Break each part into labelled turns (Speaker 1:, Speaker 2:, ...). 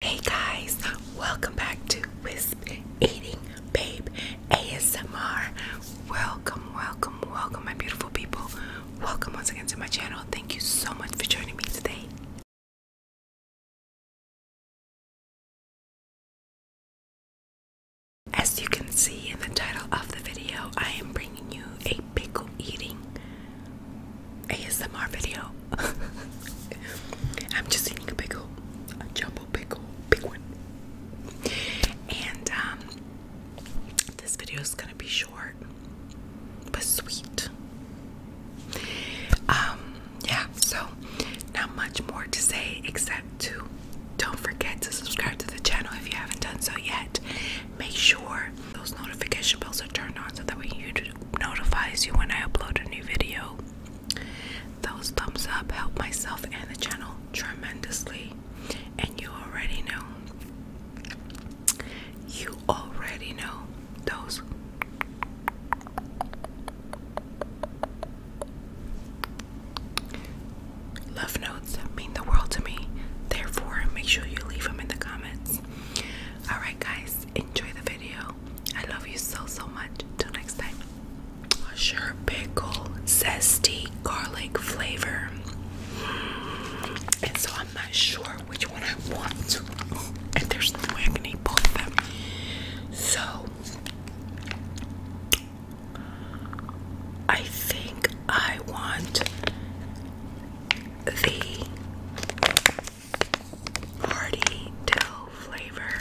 Speaker 1: Hey guys, welcome back to Wisp Eating Babe ASMR. Welcome, welcome, welcome, my beautiful people. Welcome once again to my channel. Thank you so much for joining me today. As you can see in the title of the video, I am bringing you a pickle eating ASMR video. I'm just eating a pickle, a jumbo pickle, big one. And um, this video is gonna be short but sweet. Um, yeah, so not much more to say except to don't forget to subscribe to the channel if you haven't done so yet. Make sure those notification bells are turned on so that when you do notifies you when I upload a new video. Those thumbs up help myself and the channel tremendously. And you already know. You already know those love notes mean the world to me. Therefore, make sure you leave them in the comments. Alright, guys, enjoy the video. I love you so, so much. Until next time. Sure pickle, zesty garlic flavor. And so I'm not sure which one I want And there's no way both of them. So I think I want the hearty dill flavor.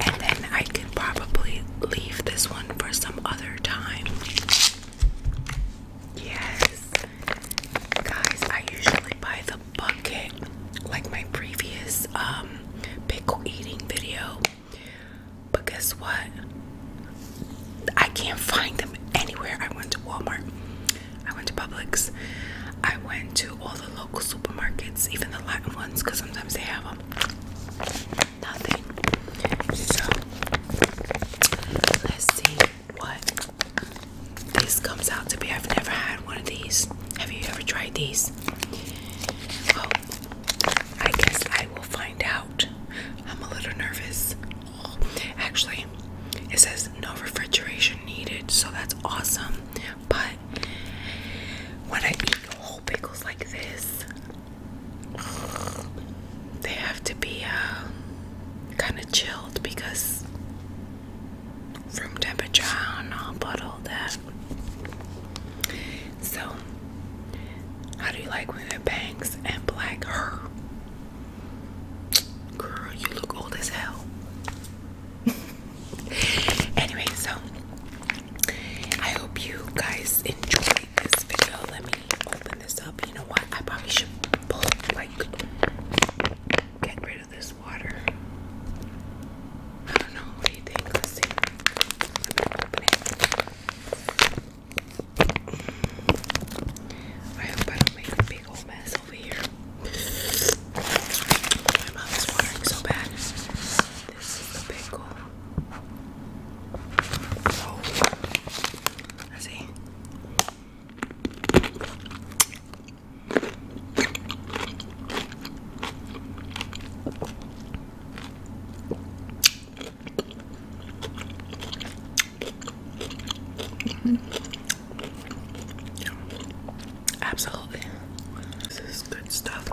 Speaker 1: And then I could probably leave this one for some other time. Yes. Guys, I usually buy the bucket like my previous um, pickle eating video. But guess what? I can't find them anywhere. I went to Walmart. I went to Publix. I went to all the local supermarkets, even the Latin ones, because sometimes they have them. Nothing. So let's see what this comes out to be. I've never had one of these. Have you ever tried these? Well, I guess I will find out. I'm a little nervous. Actually, it says no refrigeration needed, so that's awesome. But when I eat whole pickles like this, they have to be um, kind of chilled because room temperature, I don't all that. So, how do you like when it bangs and black? Her. Girl, you look old as hell. anyway, so I hope you guys enjoyed this video. Let me open this up. You know what? I probably should pull, like, get rid of this water. I don't know. What do you think? let I hope I don't make a big old mess over here. My mouth is watering so bad. This is the pickle. Oh, see. Mm-hmm. Absolutely. This is good stuff.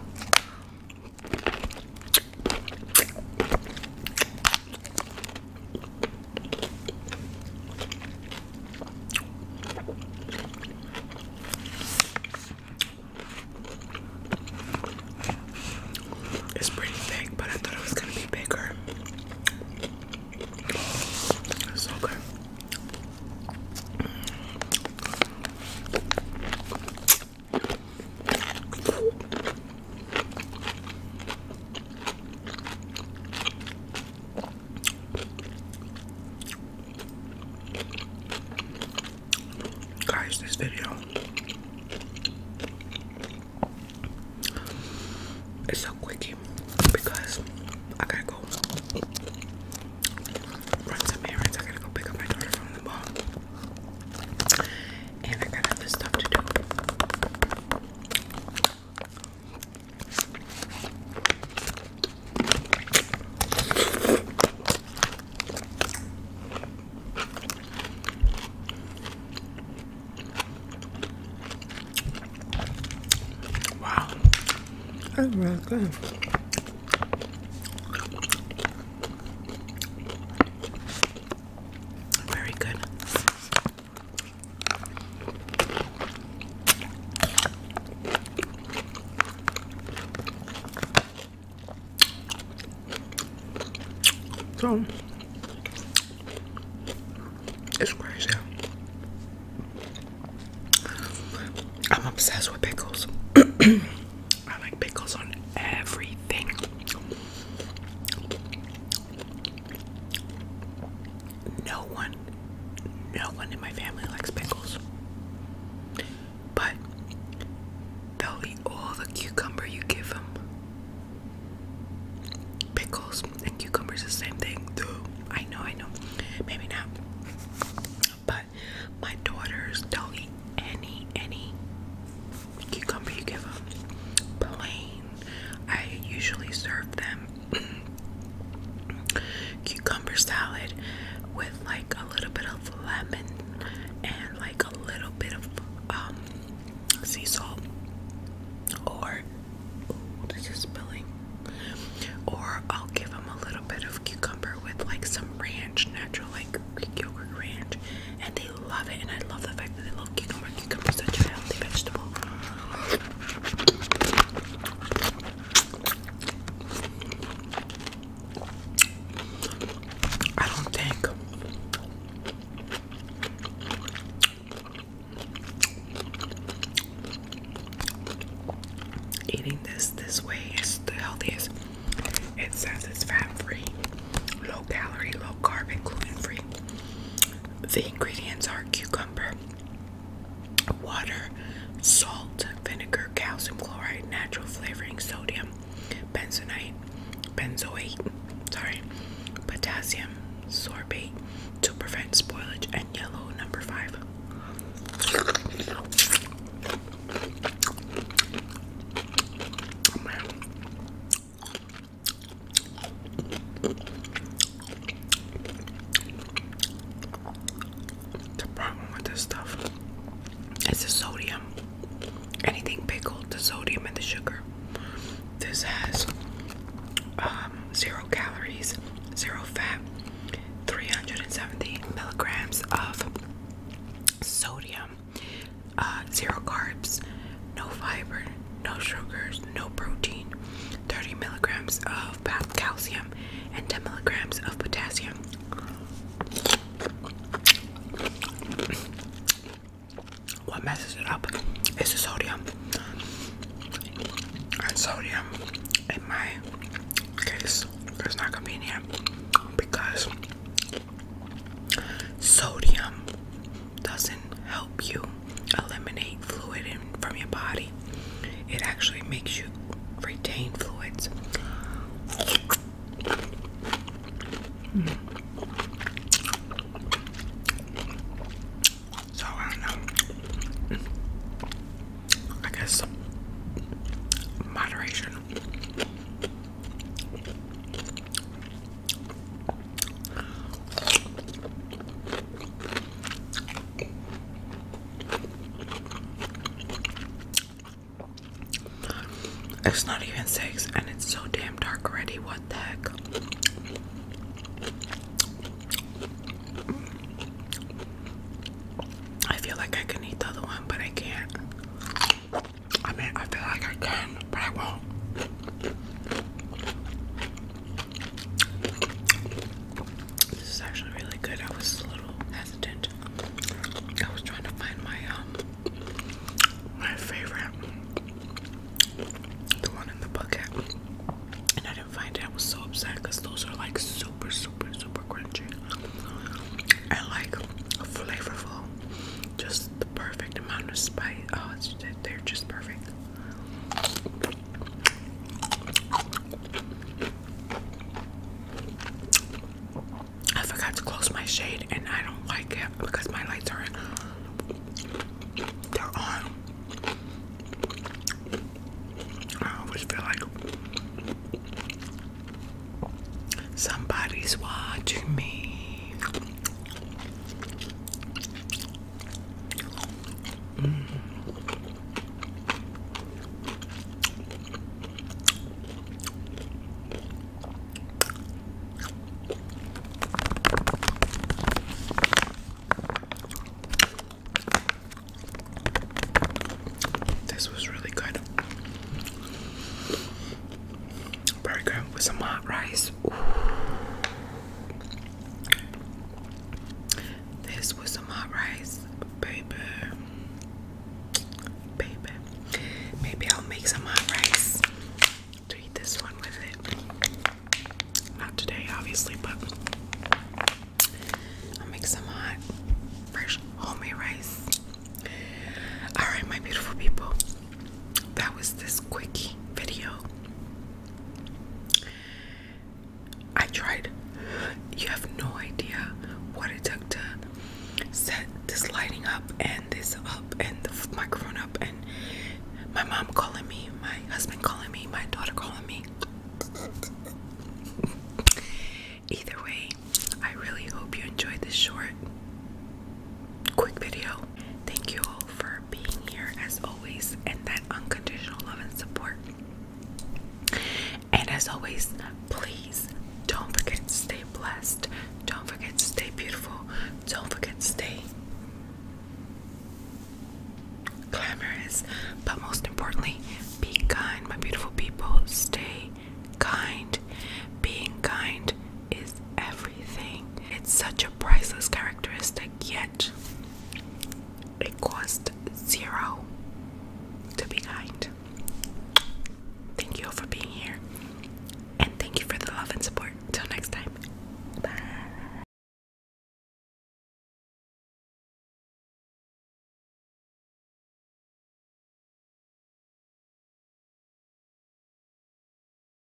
Speaker 1: It's pretty thick, but I thought it was gonna be bigger. It's so good. Guys, this video it's so quickie because I gotta go run some errands. I gotta go pick up my daughter from the mall. And I got other stuff to do. Wow, that's really good. Very good. So it's crazy. I'm obsessed with pickles. I like pickles on everything. No one, no one in my family likes pickles. But They'll eat all the cucumber you give them. Pickles and cucumbers, the same thing. Dude, I know, I know. Maybe not. But my daughters, they'll eat any, any cucumber you give them. Plain. I usually serve them cucumber salad with like a little bit of lemon and like a little bit of um sea salt or oh spilling or I'll give them a little bit of cucumber with like some ranch natural like Greek yogurt ranch and they love it and I love the fact that they love cucumber cucumber is such a healthy vegetable I don't think eating this this way is the healthiest. It says it's fat free, low calorie, low carb, and gluten free. The ingredients are cucumber, water, salt, vinegar, calcium chloride, natural flavoring, sodium, benzoate, benzoate, sorry, potassium sorbate to prevent spoilage, and yellow number five. The problem with this stuff is the sodium. Anything pickled, the sodium and the sugar. This has um, zero calories, zero fat, 370 milligrams of sodium, uh, zero carbs, no fiber, no sugars, no protein, 30 milligrams of of calcium and 10 milligrams of potassium. What messes it up is the sodium. And sodium, in my case, is not convenient because sodium doesn't help you eliminate fluid in from your body. It actually makes you retain fluids. So I don't know. I guess moderation. It's not even six and it's so damn dark already. What the heck? I feel like I can eat the other one, but I can't. I mean, I feel like I can, but I won't. This is actually really good. I was a little hesitant. I was trying to find my um my favorite, the one in the bucket, and I didn't find it. I was so upset because those are like super, super, super crunchy I like flavorful. Just the perfect amount of spice. Oh, they're just perfect. I forgot to close my shade and I don't like it because my lights are they're on. I always feel like somebody's watching me. This was really good. Burger with some hot rice. This was some hot rice, baby. Baby. Maybe I'll make some hot rice to eat this one with it. Not today, obviously, but I'll make some hot, fresh, homemade rice. Alright, my beautiful people. That was this quickie video. I tried. You have no idea what it took to set this lighting up and this up and the microphone up and my mom calling me, my husband calling me, my daughter calling me. Either way, I really hope you enjoyed this short, quick video. Thank you all for being here as always and that unconditional love and support. And as always, please don't forget to stay blessed. Don't forget to stay beautiful. Don't forget to stay glamorous. But most importantly, be kind, my beautiful people. Stay kind. Being kind is everything. It's such a priceless characteristic, yet it cost zero to be kind. Thank you all for being here, and thank you for the love and support. Till next time, bye.